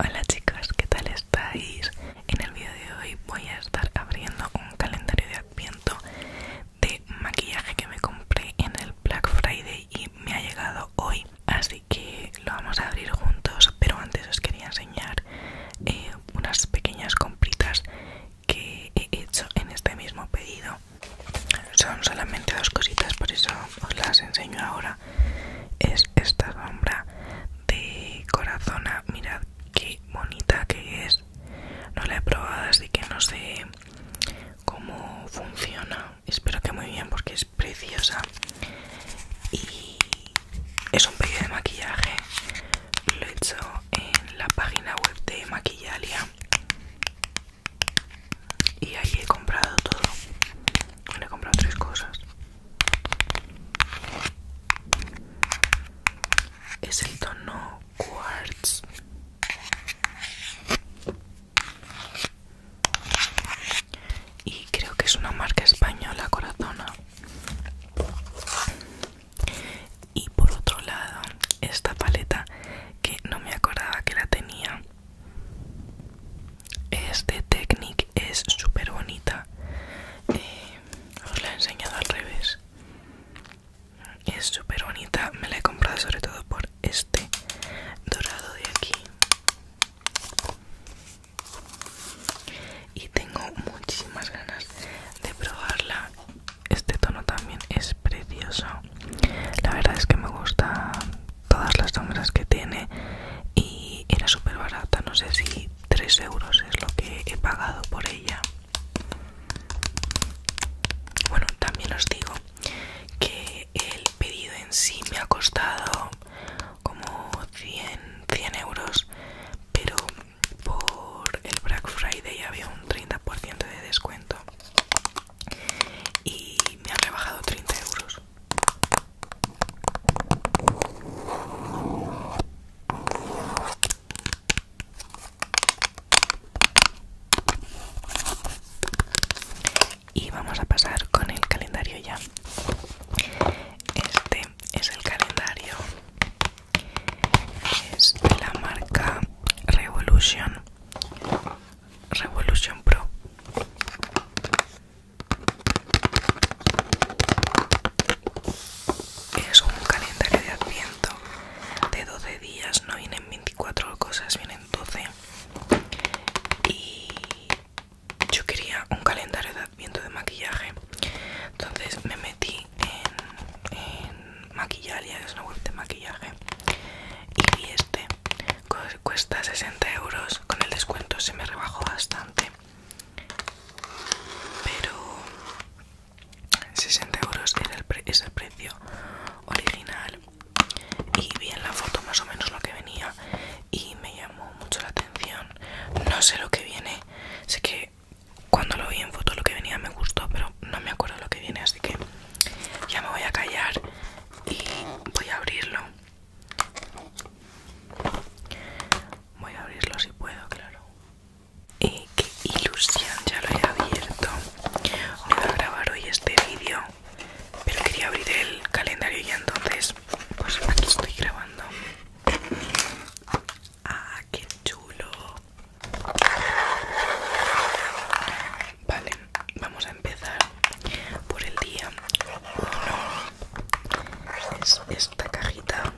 Hola chicas, ¿qué tal estáis? En el vídeo de hoy voy a estar abriendo un calendario de adviento de maquillaje que me compré en el Black Friday y me ha llegado hoy, así que lo vamos a abrir juntos, pero antes os quería enseñar eh, unas pequeñas compritas que he hecho en este mismo pedido son solamente dos cositas por eso os las enseño ahora es esta sombra de corazona ah, mirad qué bonita que es no la he probado así que no sé cómo funciona espero que muy bien porque es preciosa y es un pedido de maquillaje lo he hecho en la página web de maquillalia y ahí he comprado todo Le he comprado tres cosas es el tono quartz y creo que es una marca española corazona y por otro lado esta paleta que no me acordaba que la tenía este Technic es súper bonita eh, os la he enseñado al revés es súper bonita me la he comprado sobre todo por este dorado de aquí y tengo muchísimas ganas de probarla este tono también es precioso la verdad es que me gusta todas las sombras que tiene y era súper barata, no sé si 3 euros es lo que he pagado por ella. Bueno, también os digo que el pedido en sí me ha costado como 100, 100 euros, pero por el Black Friday había un 30% de descuento y me han rebajado 30 euros. Y vamos a pasar con el calendario ya. Este es el calendario. Es de la marca Revolution. Revolution Pro. Es un calendario de adviento de 12 días, no vienen 24 cosas, vienen 12. Y yo quería un calendario de adviento de maquillaje. Entonces me metí en, Maquillaria, es una web de maquillaje. Y vi este cuesta 60 euros con el descuento se me rebajó bastante pero 60 euros es el precio original y vi en la foto más o menos lo que venía y me llamó mucho la atención no sé lo que viene sé que cuando lo vi en foto lo que venía me gustó pero no me acuerdo lo que viene así que ya me voy a callar y voy a abrirlo Voy a abrirlo si puedo, claro. Eh, ¡Qué ilusión! Ya lo he abierto. Voy a grabar hoy este vídeo, pero quería abrir el calendario y entonces, pues aquí estoy grabando. ¡Ah, qué chulo! Vale, vamos a empezar por el día 1 es esta cajita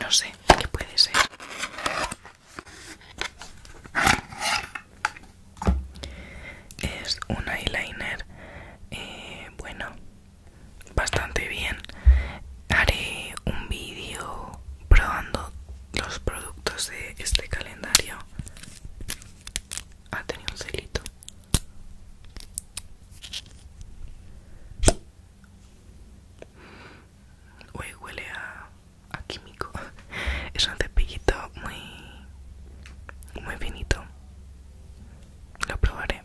no sé qué puede ser es un eyeliner eh, bueno bastante bien haré un vídeo probando los productos de este calendario ah tenido un celito Uy, huele a, a químico es un cepillito muy muy finito lo probaré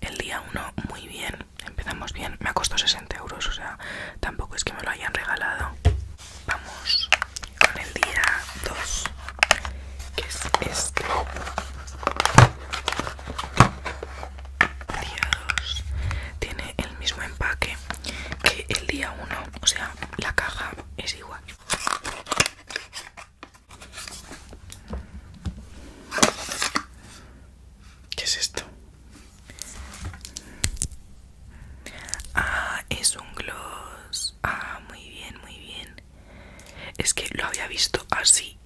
el día 1 muy bien, empezamos bien, me ha costado 60 euros, o sea, tampoco es que me lo hayan regalado. Vamos con el día 2, que es este. El día 2 tiene el mismo empaque que el día 1, o sea, la caja es igual. ¿Qué es esto? Ah, es un gloss. Ah, muy bien, muy bien. Es que lo había visto así.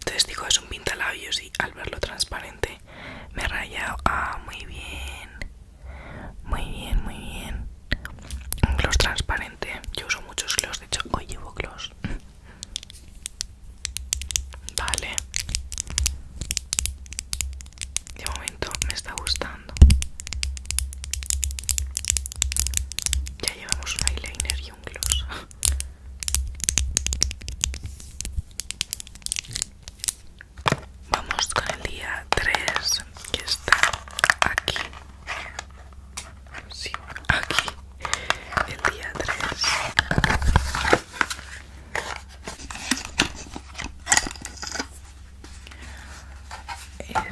Entonces digo, es un pintalabios y al verlo transparente me he rayado. Ah, muy bien. Muy bien, muy bien. Un gloss transparente. Yo uso muchos gloss, de hecho hoy llevo gloss. Vale. De momento me está gustando. Ya llevamos un eyeliner y un gloss. Vamos con el día 3 que está aquí sí, aquí el día 3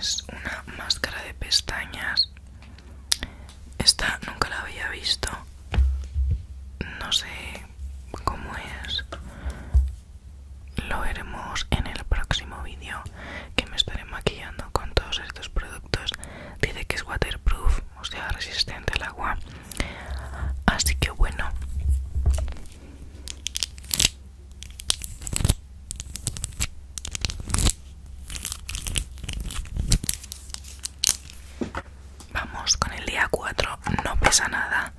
es una máscara de pestañas esta nunca la había visto no sé cómo es lo veremos en el próximo vídeo que me estaré maquillando con todos estos productos dice que es waterproof o sea resistente al agua así que bueno Vamos con el día 4, no pesa nada.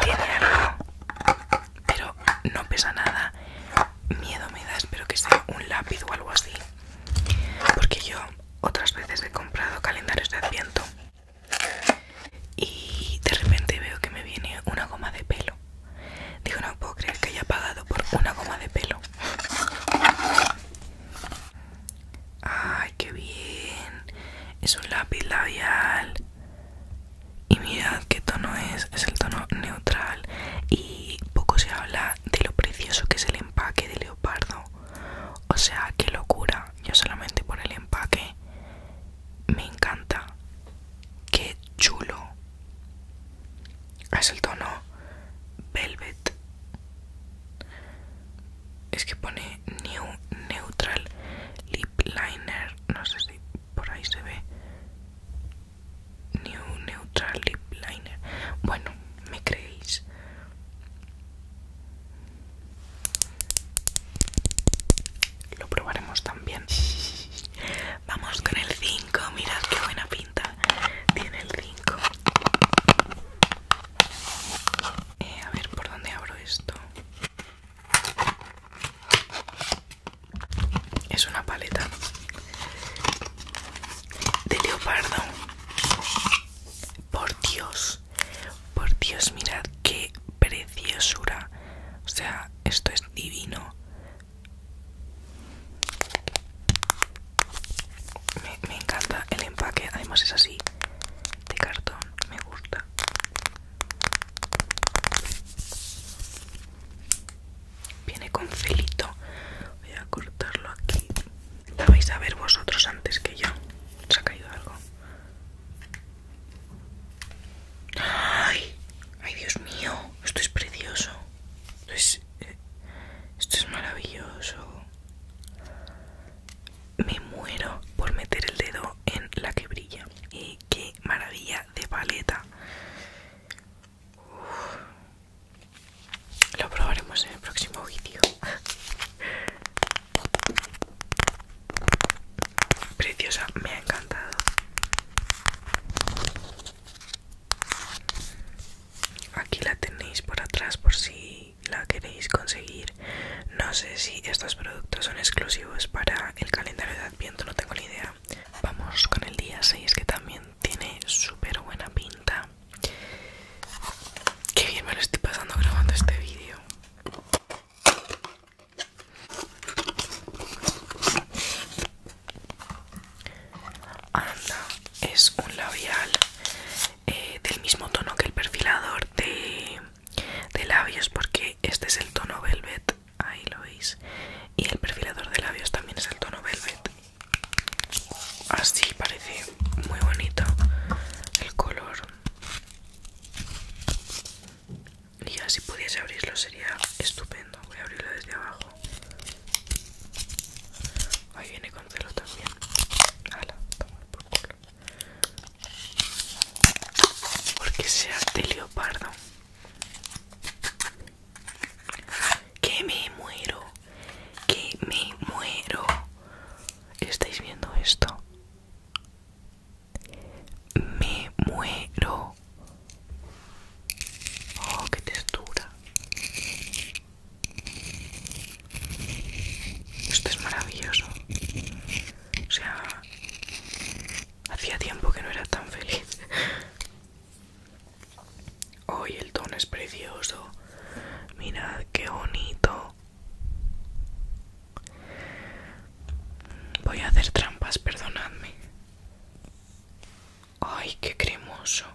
Tiene algo pero no pesa nada. Miedo me da, espero que sea un lápiz o algo así. Porque yo otras veces he comprado calendarios de adviento y de repente veo que me viene una goma de pelo. Digo, no puedo creer que haya pagado por una goma de pelo. Ay, qué bien. Es un lápiz labial. Y mirad qué tono es, es el tono neutral y poco se habla de lo precioso que es el empaque de leopardo. O sea, qué locura. Yo solamente por el empaque me encanta. Qué chulo. Es el tono velvet. Es que pone New Neutral Lip Liner. No sé si por ahí se ve. New Neutral Lip Liner. Bueno, me creéis. Lo probaremos también. Vamos con el 5. Mirad qué buena pinta tiene el 5. Eh, a ver por dónde abro esto. Es una paleta de leopardo. Por Dios, por Dios, mirad qué preciosura. O sea, esto es divino. Me, me encanta el empaque, además es así, de cartón, me gusta. Viene con felito. Voy a cortarlo aquí. La vais a ver vosotros antes que yo. Se ha caído algo? ¡Ay! ¡Ay, Dios mío! Esto es precioso. Esto es, eh, esto es maravilloso. Me muero por meter el dedo en la que brilla. Y qué maravilla de paleta. Lo probaremos en el próximo vídeo. Preciosa, me ha encantado. Aquí la tenéis por atrás por si la queréis conseguir. No sé si estos productos son exclusivos para el calendario de Adviento, no tengo ni idea. Vamos con el día 6 que también tiene súper buena pinta. Qué bien me lo estoy pasando grabando este vídeo. Anda, es un labial eh, del mismo tono que el perfilador de labios porque este es el tono velvet ahí lo veis y el perfilador de labios también es el tono velvet así parece muy bonito el color y ya si pudiese abrirlo sería estupendo voy a abrirlo desde abajo ahí viene con celo también por porque sea de leopardo que me muero. Que me muero. ¿Estáis viendo esto? Me muero. Oh, qué textura. Esto es maravilloso. O sea, hacía tiempo que no era tan feliz. Hoy el tono es precioso. Mirad qué bonito. Voy a hacer trampas, perdonadme. Ay, qué cremoso.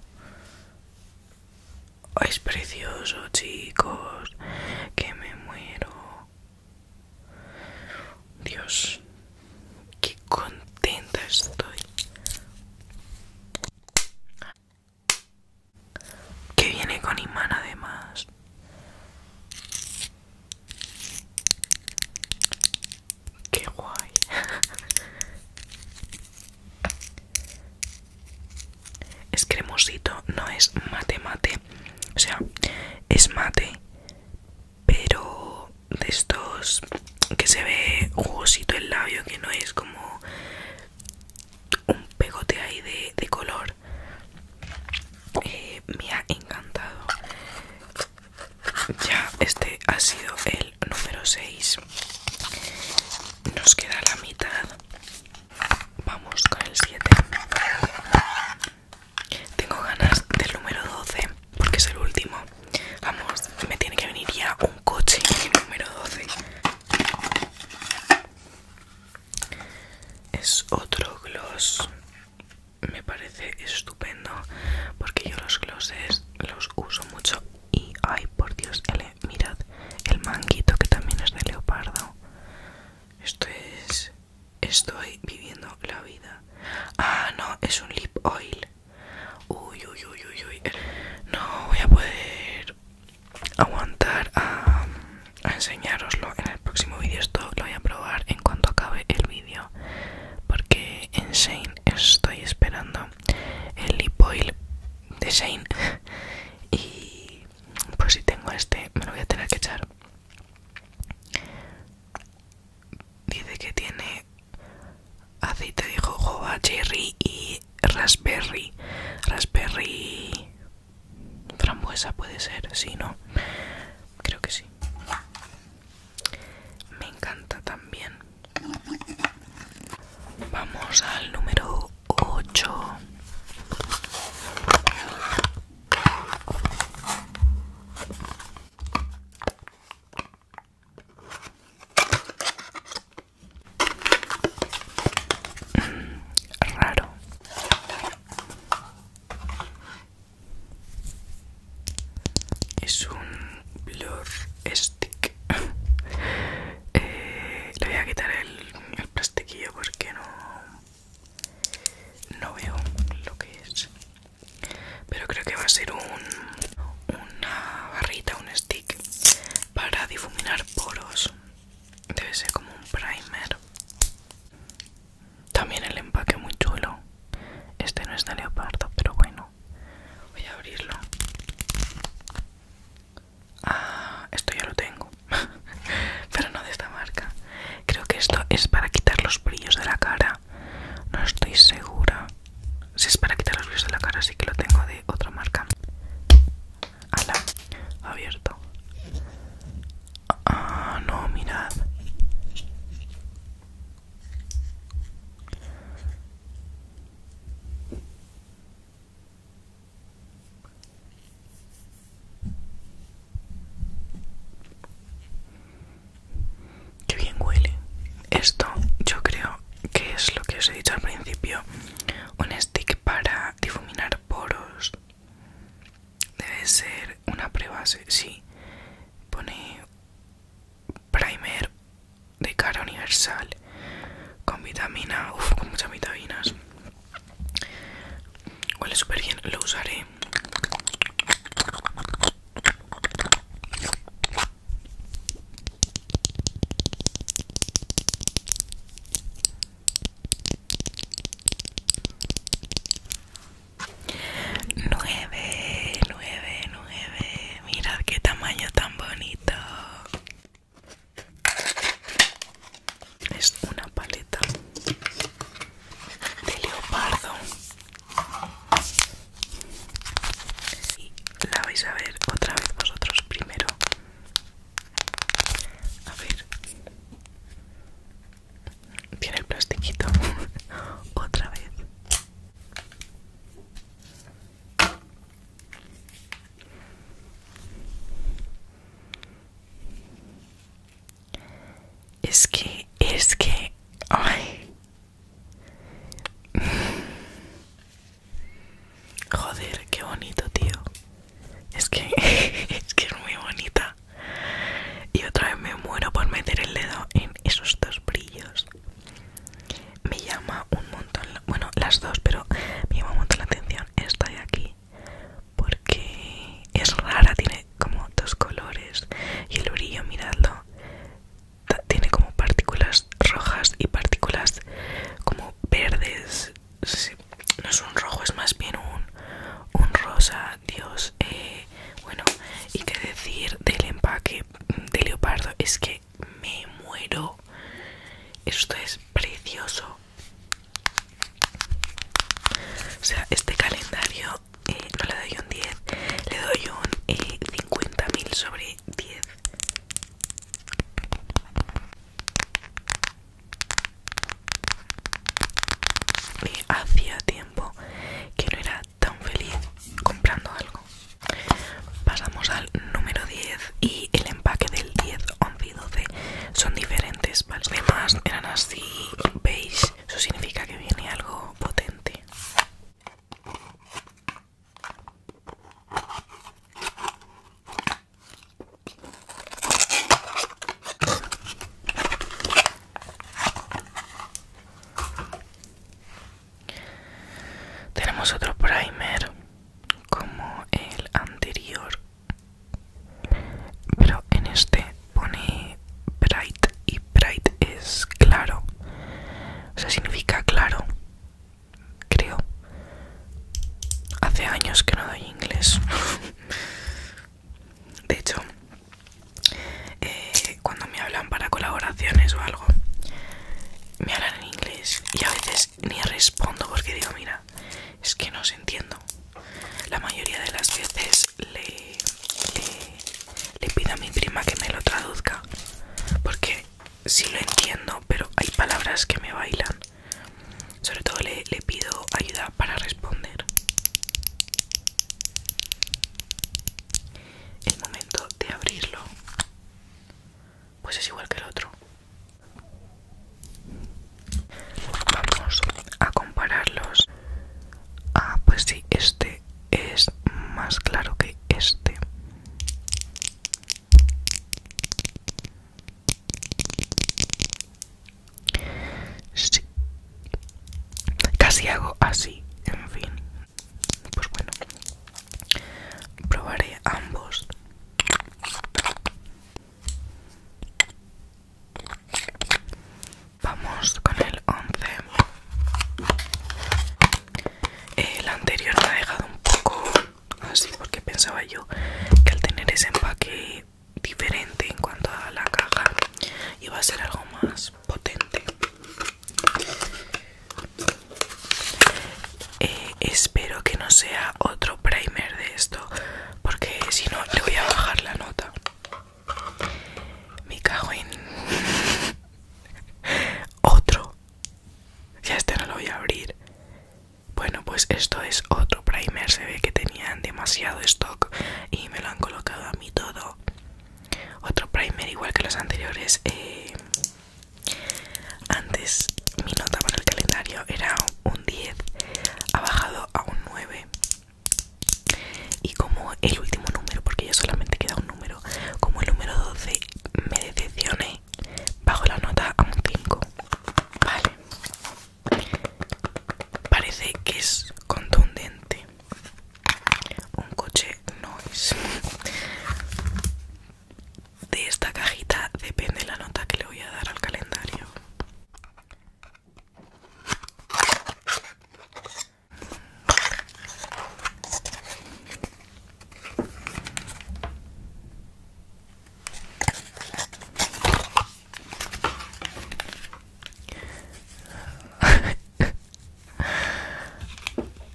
es precioso, chicos. Que me muero. Dios, Qué contenta estoy. Que viene con imán además. Qué guay. Es cremosito, no es mate mate. O sea, es mate, pero de estos que se ve jugosito el labio, que no es como un pegote ahí de, color. Eh, me ha encantado. Ya, este ha sido el número 6. Nos queda la mitad. Vamos con el 7. Tengo ganas del número 12 porque es el último. Vamos, me tiene que venir ya un coche número 12. Es otro gloss. Me parece estupendo porque yo los glosses los uso mucho. Y ay, por Dios, mirad el manguito que también es de leopardo. Esto es. Estoy viviendo la vida. Ah, no, es un lip oil. Uy, uy, uy, uy, uy. No voy a poder aguantar a, enseñaroslo enseñároslo en el próximo vídeo. Esto lo voy a probar en cuanto acabe el vídeo. Porque en Shane estoy esperando el lip oil de Shane. Y Por pues, si tengo este, me lo voy a tener que echar. Dice que tiene aceite dijo jojoba, cherry y raspberry. Raspberry frambuesa puede ser, sí, ¿no? Creo que sí. Me encanta también. Vamos al número 8. Raro. Es un blur stick. Eh, le voy a quitar el, el plastiquillo porque no no veo lo que es pero creo que va a ser un, una barrita, un stick para difuminar poros. Debe ser como un primer. También el empaque muy chulo. Este no es de leopardo, pero bueno. Voy a abrirlo. Ah, esto ya lo tengo. pero no de esta marca. Creo que esto es para quitar los brillos de la cara no estoy segura si es para quitar los brillos de la cara Así que lo tengo de otra marca ala abierto ah no mirad Qué bien huele. Esto yo creo que es lo que os he dicho al principio. Un stick para difuminar poros. Debe ser una prueba, Si Pone primer de cara universal. Con vitamina, uff, con muchas vitaminas. Huele súper bien, lo usaré. Nueve, nueve, nueve. Mirad qué tamaño tan bonito. Es una paleta de leopardo y la vais a ver otra vez vosotros primero a ver tiene el plastiquito otra vez es que es que ay Joder, qué bonito, tío. Es que es que es muy bonita. Y otra vez me muero por meter el dedo en esos dos brillos. Me llama un montón, bueno, las dos, pero me llama un montón la atención esta de aquí. Porque es rara, tiene como dos colores. Y el brillo, miradlo tiene como partículas rojas y partículas como verdes. No es un rojo, es más bien un, un rosa, Dios. Eh, bueno, y qué decir del empaque de leopardo, es que me muero. Esto es precioso. O sea, este calendario eh, no le doy un 10, le doy un 50.000 eh, sobre 10. Y hacía tiempo que no era tan feliz comprando algo. Pasamos al número 10 y el empaque del 10, 11 y 12 son diferentes, Los demás eran así beige, eso significa que viene algo potente. Tenemos otro primer como el anterior, pero en este pone bright y bright es claro, o sea significa claro creo. Hace años que no doy inglés. de hecho, eh, cuando me hablan para colaboraciones o algo, me hablan en inglés y a veces ni respondo porque digo, mira, es que no os entiendo. La mayoría de las veces le, le pido a mi prima que me lo traduzca porque sí lo entiendo, pero hay palabras que me bailan. Sobre todo le, pido ayuda para responder. El momento de abrirlo, pues es igual que el otro. Vamos a compararlos. Ah, pues sí, este es más claro que este sí. casi hago así en fin pues bueno probaré ambos Vamos con el 11. El anterior me ha dejado un poco así porque pensaba yo que al tener ese empaque diferente en cuanto a la caja iba a ser algo más potente. Eh, espero que no sea otro primer de esto porque si no le voy a bajar la nota. Me cago en... Otro ya este no lo voy a abrir. Bueno, pues esto es otro primer. Se ve que tenían demasiado stock y me lo han colocado a mí todo. Otro primer igual que los anteriores. Eh, antes mi nota para el calendario era un 10. Ha bajado a un 9. Y como el último número, porque ya solamente queda un como el número 12 me decepcioné bajo la nota a un 5 vale parece que es contundente un coche noise. de esta cajita depende la nota que le voy a dar al calendario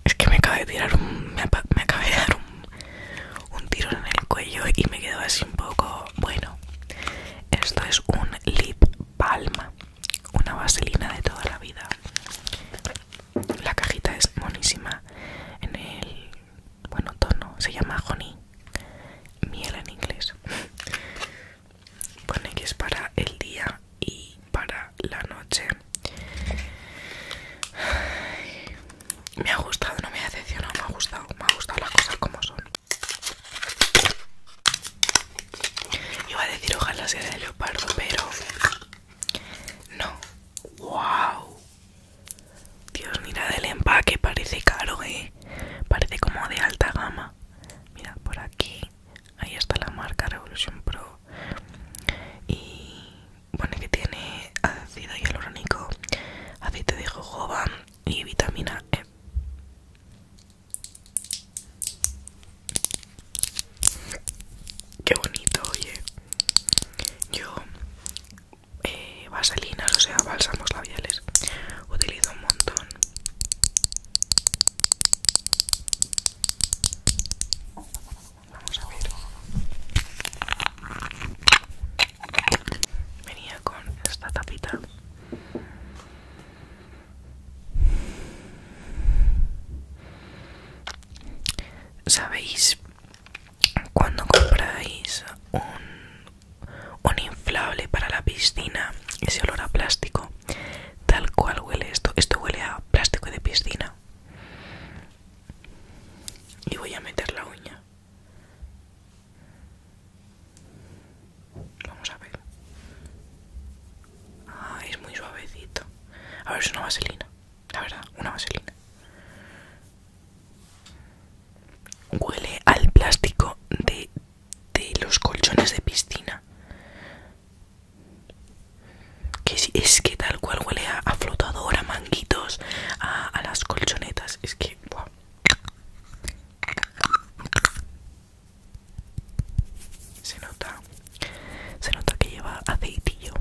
es que me acabé de tirar un. Me, de dar un, un tiro en el cuello y me quedo así un poco. Bueno, esto es un lip palma, una vaselina de toda la vida. La cajita es monísima en el bueno tono, se llama honey, miel en inglés. Pone que es para el día y para la noche. me ha gustado, no me ha decepcionado, me ha gustado, me ha gustado las cosas como son. Iba a decir ojalá sea de leopardo, pero no. ¡Wow! Dios, mira el empaque, parece caro, ¿eh? Parece como de alta gama. Mira, por aquí, ahí está la marca Revolution Pro. Y bueno, que tiene ácido hialurónico, aceite de jojoba y vitamina E. Qué bonito, oye. Yo, eh, vaselinas, o sea, bálsamos labiales, utilizo un montón. Venía con esta tapita sabéis cuando compráis un, inflable para la piscina ese olor a plástico tal cual huele esto esto huele a plástico de piscina y voy a meter la uña vamos a ver ah, es muy suavecito a ver es una vaselina la verdad, una vaselina. Huele al plástico de, los colchones de piscina. Que es, es que tal cual huele a, flotador, a manguitos, a, las colchonetas. Es que... Se nota, se nota que lleva aceitillo.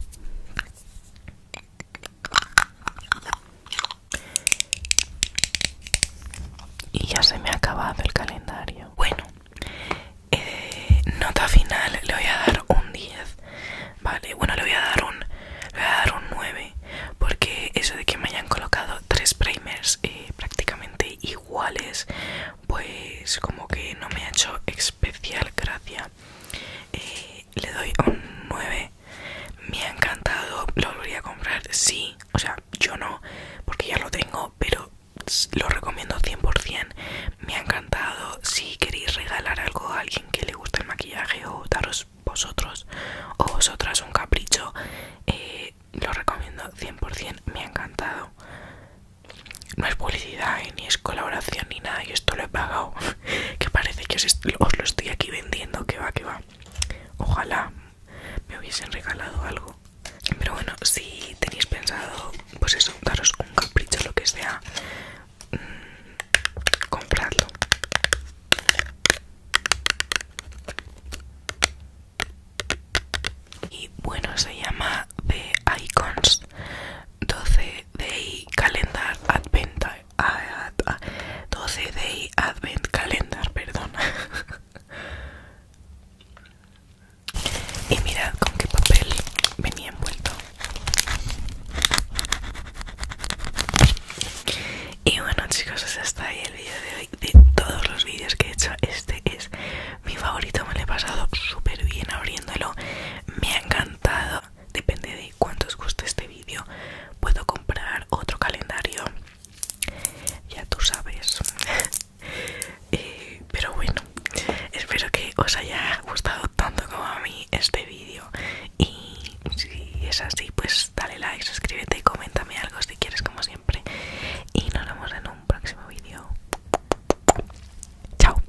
Y ya se me ha acabado el calendario. Bueno, eh, nota final le voy a dar un 10. Vale, bueno, le voy a dar un, dar un 9. Porque eso de que me hayan colocado tres primers eh, prácticamente iguales, pues como que no me ha hecho especial gracia. Eh, le doy un 9 me ha encantado lo volvería a comprar sí o sea yo no porque ya lo tengo pero lo recomiendo 100% me ha encantado si queréis regalar algo a alguien que le guste el maquillaje o daros vosotros o vosotras un capricho eh, lo recomiendo 100% me ha encantado no es publicidad, eh, ni es colaboración, ni nada. Yo esto lo he pagado. que parece que os, lo estoy aquí vendiendo. Que va, que va. Ojalá me hubiesen regalado algo. Pero bueno, si tenéis pensado, pues eso, daros un capricho, lo que sea, mm, comprarlo. Y bueno, se llama de icons 12 Day Calendar Advent 12 ah, ah, Day Advent Calendar, perdón Y mirad con qué papel venía envuelto Y bueno chicos, eso está ahí el vídeo de hoy De todos los vídeos que he hecho, este es mi favorito Me lo he pasado súper bien abriéndolo Me ha encantado depende de cuánto os guste este vídeo puedo comprar otro calendario ya tú sabes eh, pero bueno espero que os haya gustado tanto como a mí este vídeo y si es así pues dale like suscríbete y coméntame algo si quieres como siempre y nos vemos en un próximo vídeo chao